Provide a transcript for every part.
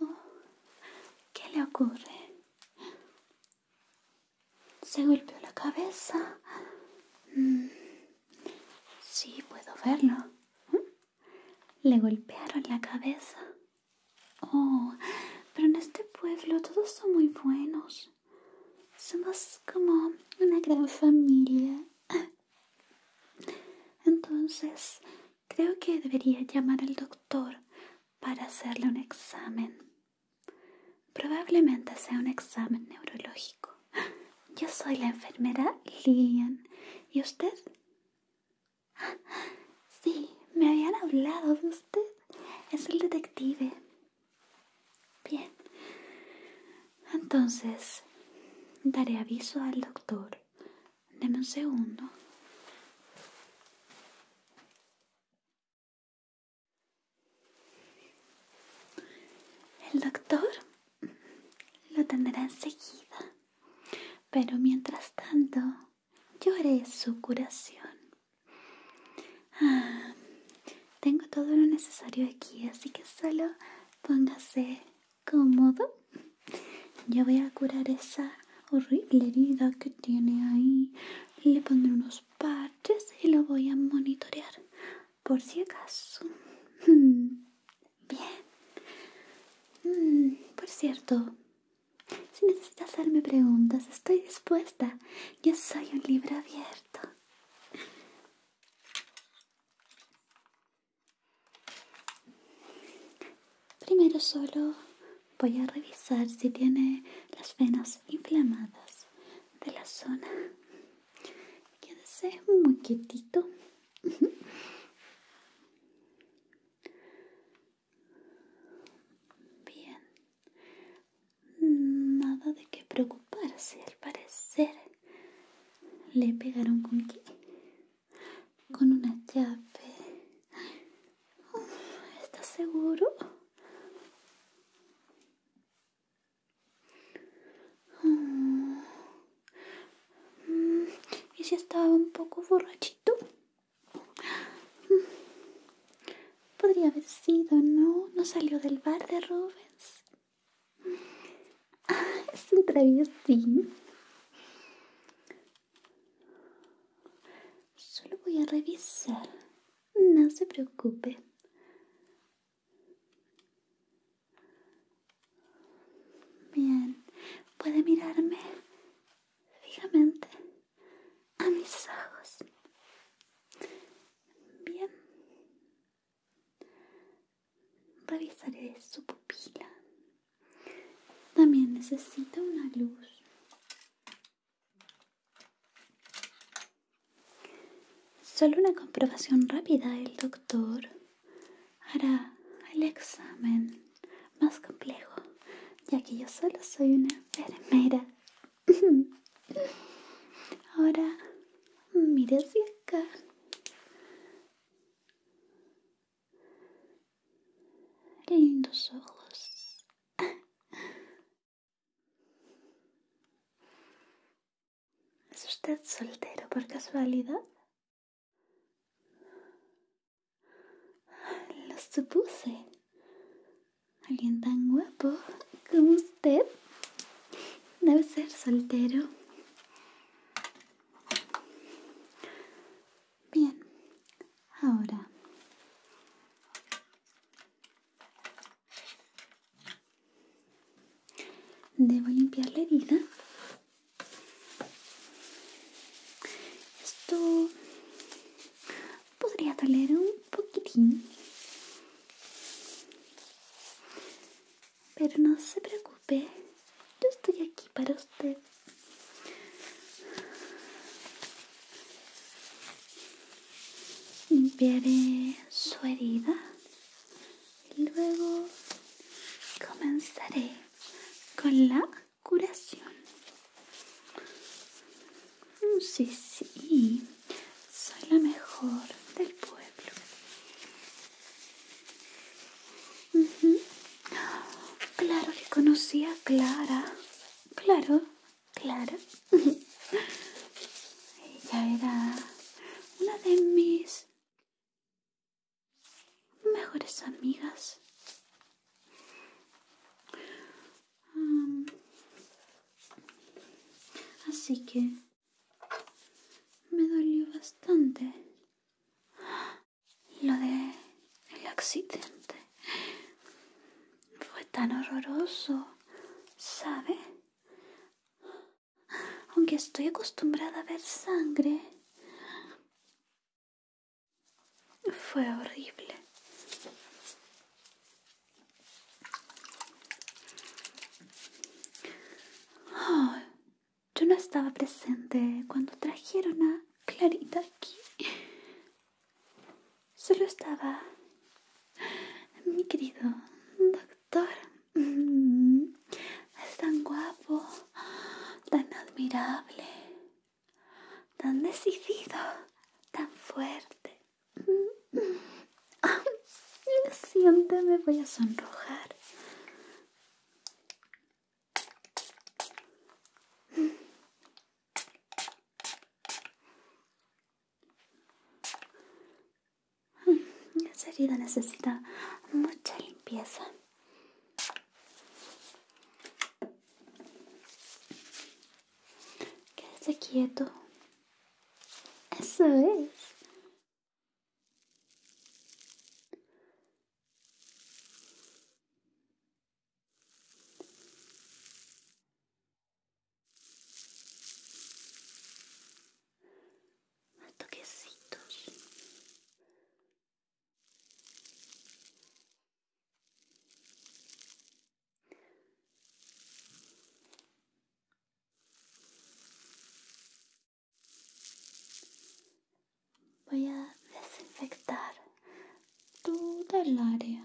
Oh, ¿Qué le ocurre? Se golpeó la cabeza. Mm. Sí, puedo verlo. Le golpearon la cabeza. Oh, pero en este pueblo todos son muy buenos. Somos como una gran familia. Entonces, creo que debería llamar al doctor para hacerle un examen. Probablemente sea un examen neurológico. Yo soy la enfermera Lillian. ¿Y usted? Sí, me habían hablado de usted. Es el detective. Bien. Entonces, daré aviso al doctor. Denme un segundo. El doctor lo tendrá enseguida, pero mientras tanto yo haré su curación. Ah, tengo todo lo necesario aquí, así que solo póngase cómodo. Yo voy a curar esa horrible herida que tiene ahí. Le pondré unos y lo voy a monitorear por si acaso. Bien. Mm, por cierto, si necesitas hacerme preguntas, estoy dispuesta. Yo soy un libro abierto. Primero solo voy a revisar si tiene las venas inflamadas de la zona. Quédese muy quietito. Bien. Nada de qué preocuparse, al parecer. Le pegaron con qué? Con una llave. está seguro? Mm. ¿Y si estaba un poco borrachito? Mm. Podría haber sido, ¿no? No salió del bar de Rubens. Ah, es un travieso. Solo voy a revisar no se preocupe. Bien, puede mirarme fijamente a mis ojos. Bien. Revisaré su pupila. También necesita una luz Solo una comprobación rápida. El doctor hará el examen más complejo, ya que yo solo soy una enfermera. Ahora, mire hacia acá. Lindos ojos. ¿Es usted soltero por casualidad? Lo supuse. Alguien tan guapo como usted debe ser soltero. Bien, ahora Debo limpiar la herida. Esto podría doler un poquitín. Pero no se preocupe, yo estoy aquí para usted. Limpiaré su herida y luego comenzaré con la curación. Sí, sí, soy la mejor del pueblo. Claro le conocía a Clara. Claro, Claro, Ella era una de mis mejores amigas. así que me dolió bastante lo de el accidente. Fue tan horroroso. ¿sabe? Aunque estoy acostumbrada a ver sangre. Fue horrible. yo no estaba presente cuando trajeron a Clarita aquí. Solo estaba mi querido doctor. Es tan guapo, tan admirable, tan decidido, tan fuerte. Lo siento, me voy a sonrojar. Mm, esa herida necesita mucha limpieza. Quédese quieto. Eso es toquecitos. Voy a desinfectar toda el área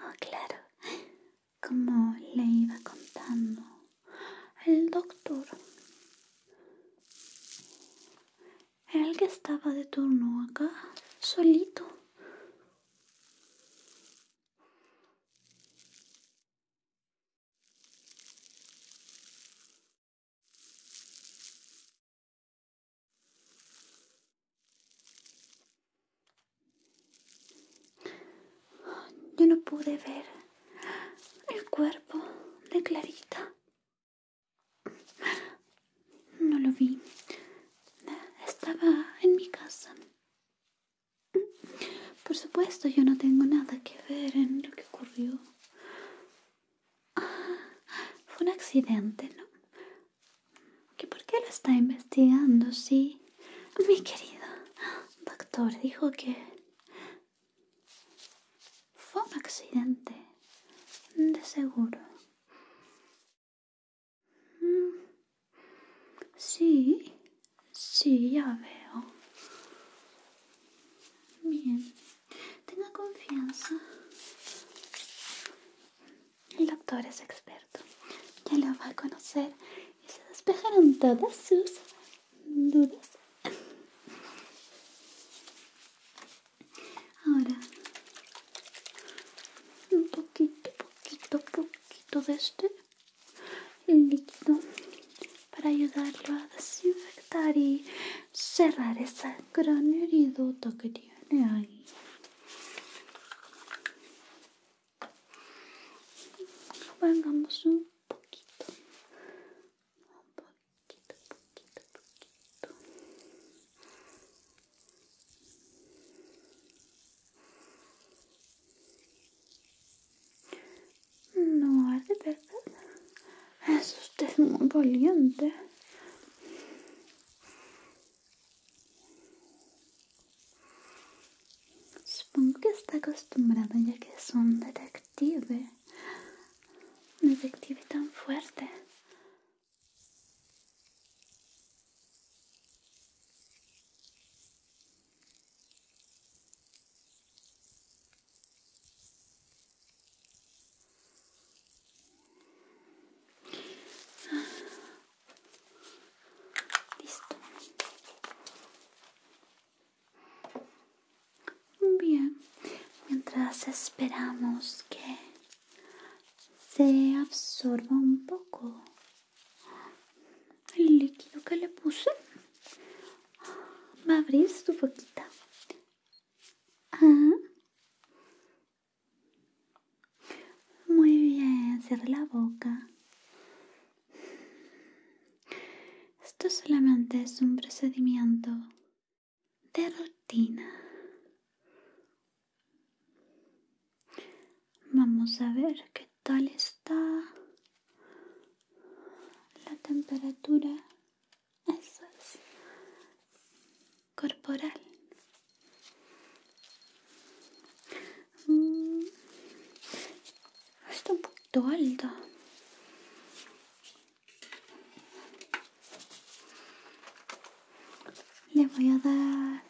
Ah claro, como le iba contando el doctor, el que estaba de turno acá, solito. Yo no pude ver el cuerpo de Clarita. No lo vi. Estaba en mi casa. Por supuesto, yo no tengo nada que ver en lo que ocurrió. Ah, fue un accidente, ¿no? ¿Que ¿Por qué lo está investigando? Sí, ah, mi querido doctor dijo que fue un accidente, de seguro. Mm, sí, sí, ya veo. Bien. Tenga confianza. El doctor es experto. Ya lo va a conocer y se despejaron todas sus dudas. Ahora, un poquito, poquito, poquito de este líquido para ayudarlo a desinfectar y cerrar esa gran heridota que tiene ahí. Vengamos un poquito. Un poquito, poquito, poquito. No arde, ¿verdad? Es usted muy valiente. Supongo que está acostumbrada ya que es un detective. Un detective tan fuerte. Bien, mientras esperamos que se absorba un poco el líquido que le puse, va a abrir su muy bien, cierra la boca. Esto solamente es un procedimiento de rutina. Vamos a ver qué tal está la temperatura eso corporal. Mm. Está un poquito alto. Le voy a dar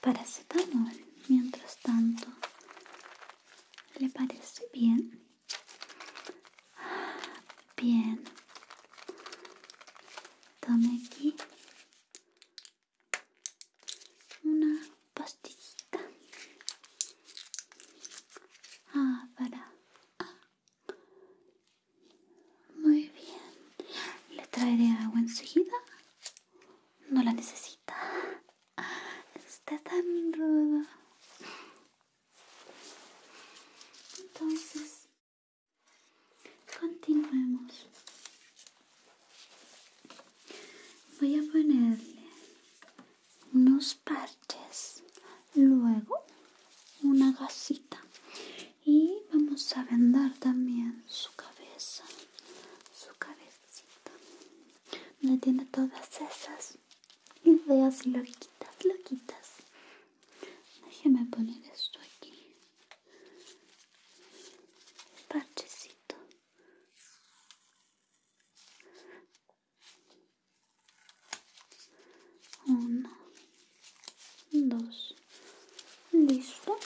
paracetamol mientras tanto. ¿Le parece bien? Bien. Tome aquí una pastillita. Ah, para. Ah. Muy bien. ¿Le traeré agua enseguida? No la necesita. Está tan rudo. Entonces, continuemos. Voy a ponerle unos parches, luego una gasita y vamos a vendar también su cabeza, su cabecita, Le tiene todas esas veas loquitas, loquitas. Déjeme poner esto aquí. Parchecito. Uno, dos, listo.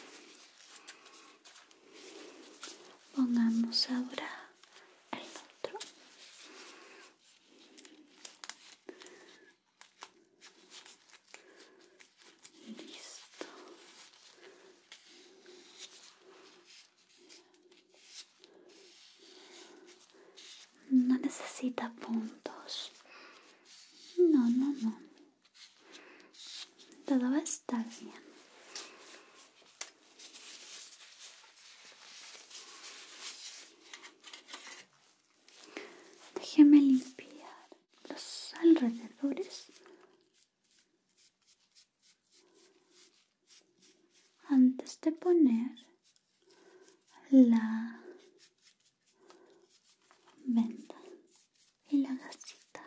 Pongamos ahora el otro. Listo. No necesita puntos. No, no, no. Todo va a estar bien. Déjeme limpiar los alrededores antes de poner la venta y la gasita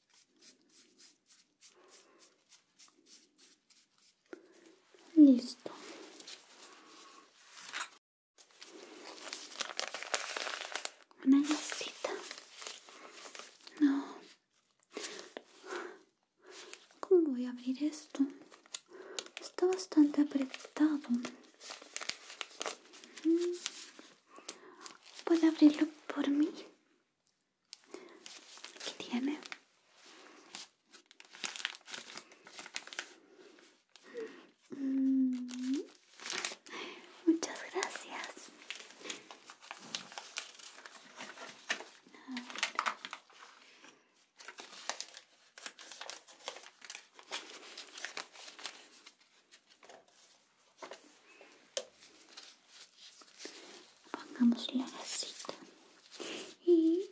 Listo. Una listita. No. ¿Cómo voy a abrir esto? Está bastante apretado. Mm. ¿Puede abrirlo por mí? Aquí tiene. Mm. Muchas gracias. Pongamos la vasita y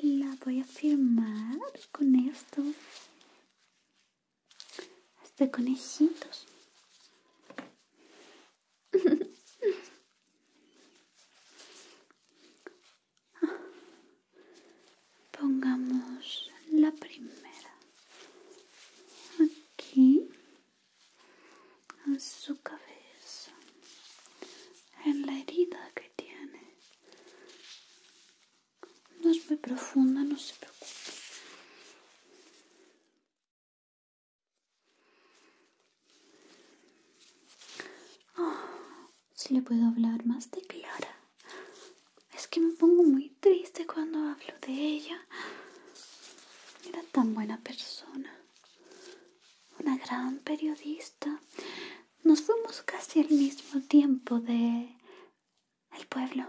la voy a firmar con esto. Hasta este, conejitos. Pongamos la primera aquí en su cabeza, en la herida que tiene. No es muy profunda, no se preocupe. Oh, si le puedo hablar más de Clara. Es que me pongo muy triste cuando hablo de ella. Era tan buena persona, una gran periodista. Nos fuimos casi al mismo tiempo de el pueblo.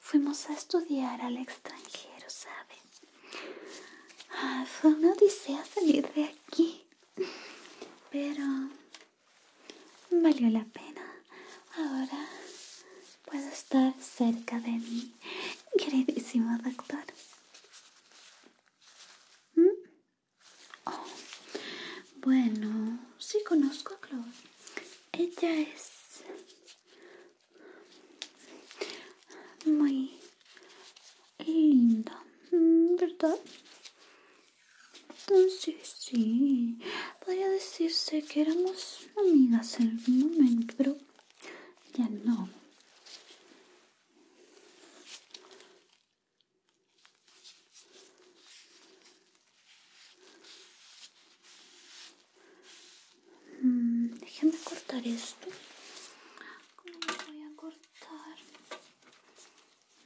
Fuimos a estudiar al extranjero, ¿sabes? Ah, fue una odisea salir de aquí, pero valió la pena. Ahora Puedo estar cerca de mi queridísimo doctor. ¿Mm? Oh, bueno, sí conozco a Chloe. Ella es muy linda, ¿mm? ¿verdad? Sí, sí. Podría decirse que éramos amigas en algún momento, pero ya no. Mm, déjame cortar esto. ¿Cómo voy a cortar?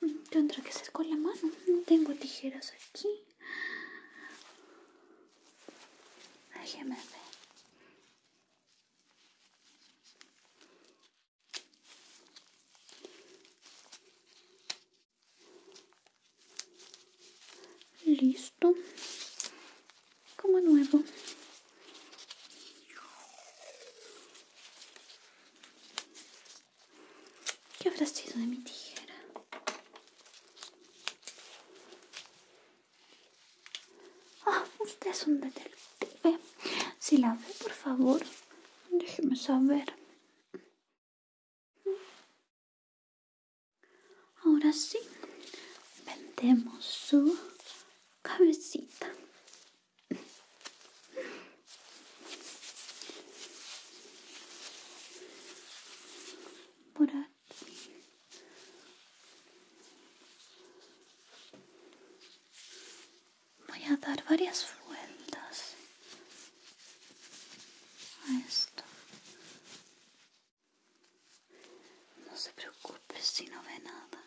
Mm, tendrá que ser con la mano. No tengo tijeras aquí me Listo. Como nuevo. ¿Qué habrá sido de mi tijera? Ah, usted es un detective. Si la ve, por favor, déjeme saber. Ahora sí, vendemos su cabecita. Por Voy a dar varias vueltas a esto. No se preocupe si no ve nada.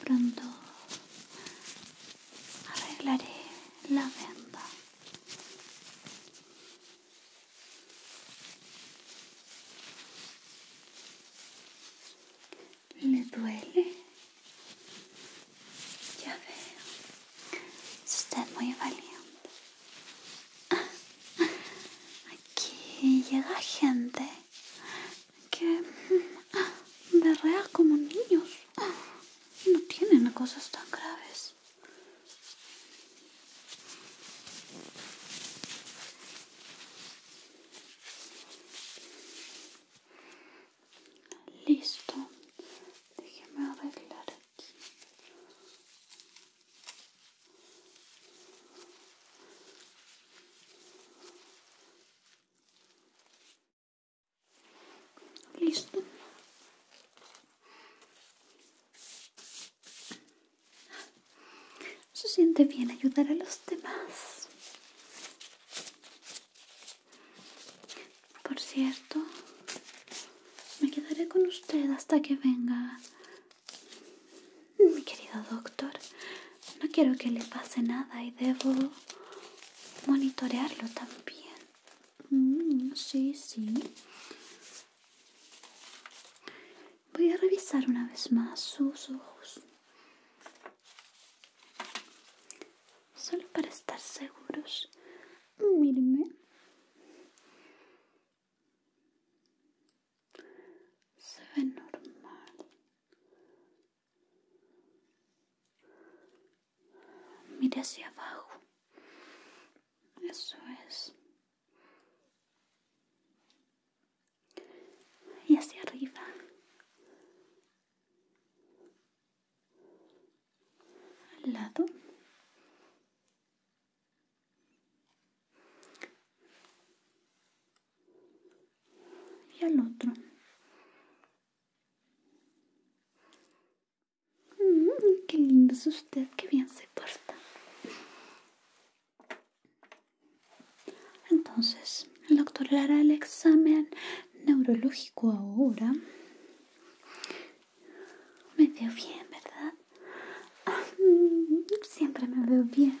Pronto arreglaré la venda. ¿Le duele? Ya veo. Es muy valiente. Ah, aquí llega gente que ah, berrea como niños. Ah. No tienen cosas tan graves. Listo. Déjeme arreglar aquí. Listo. Se siente bien ayudar a los demás. Por cierto, me quedaré con usted hasta que venga. Mi querido doctor, no quiero que le pase nada y debo monitorearlo también. Mm, sí, sí. Voy a revisar una vez más sus ojos. Solo para estar seguros. Mírenme. Se ve normal. Mira hacia abajo. Eso es. Y hacia arriba. Al lado. Y al otro. Mm, qué lindo es usted, qué bien se porta. Entonces, el doctor le hará el examen neurológico ahora. Me veo bien, ¿verdad? Mm, siempre me veo bien.